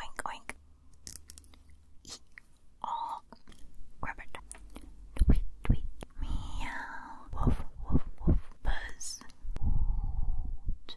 Oink oink. E all rabbit. Tweet tweet. Meow. Woof woof woof. Buzz. Woot.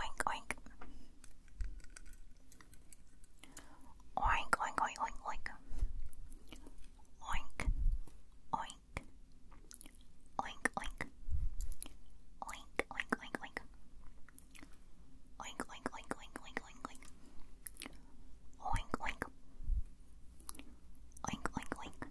Oink oink. Oink oink oink oink oink. Oink oink. Oink oink. Oink oink oink oink. Oink oink oink oink oink oink oink. Oink oink. Oink oink oink.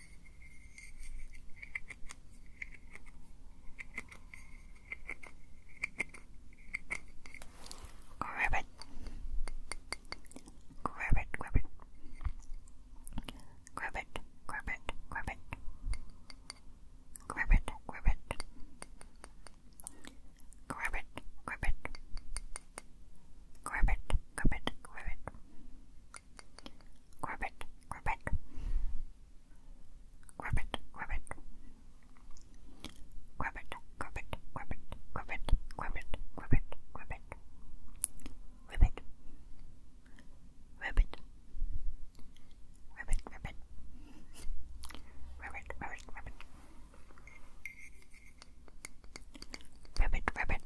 Grab it. Grab it, grab it. Grab it, grab it, grab it. Grab it, grab it. Grab it, grab it. Grab it, grab it, grab it. Ribbit, ribbit. Ribbit, ribbit. Ribbit, ribbit, ribbit, ribbit, ribbit, ribbit, ribbit. Ribbit. Ribbit. Ribbit, ribbit. Ribbit, ribbit, ribbit. Ribbit, ribbit.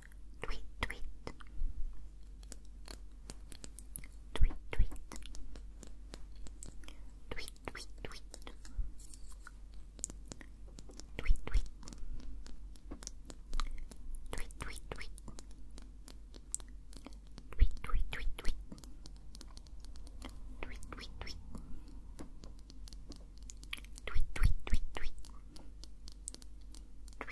tweet, tweet, tweet, tweet, tweet, tweet, tweet, tweet, tweet, tweet, tweet, tweet. Tweet, tweet, tweet, tweet. Tweet, tweet, tweet. Tweet, tweet, tweet, tweet. Tweet,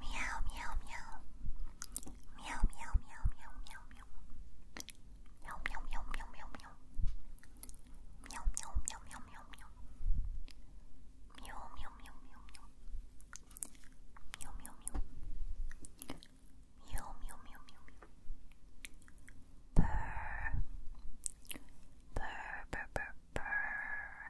Meow, meow, meow. Meow, meow, meow, meow, meow, meow. Meow, meow, meow, meow, meow, meow. Meow, meow, meow, meow, meow, meow. Meow, meow, meow, meow, meow. Meow, meow, meow. Meow, meow, meow, meow, meow. Purr. Purr, purr, purr, purr.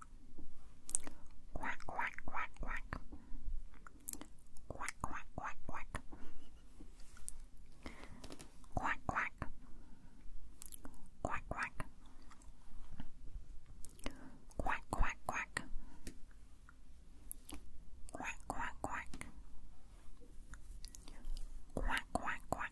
Quack, quack, quack, quack. Quack, quack, quack, quack. Quack, quack. Quack, quack. Quack, quack, quack. Quack, quack, quack. Quack, quack, quack.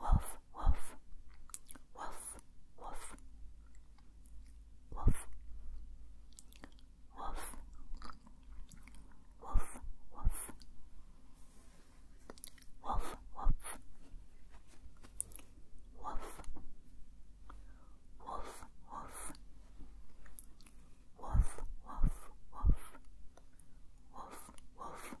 Wolf, wolf, wolf, wolf, wolf, wolf, wolf, wolf, wolf, wolf, wolf, wolf, wolf. Wolf, wolf, wolf, wolf, wolf,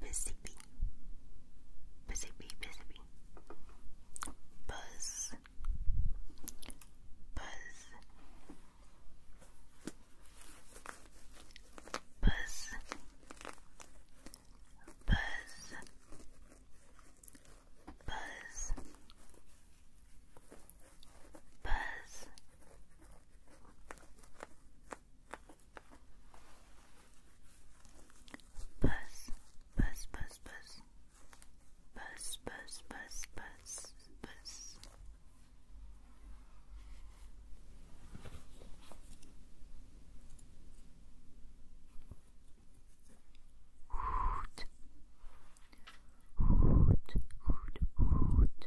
Mississippi, Mississippi, Mississippi. Buzz, buzz, buzz, buzz, buzz, buzz. Buzz, Bus, bus, bus, bus. Bus, bus, bus, bus, bus. Hoot, hoot, hoot, hoot,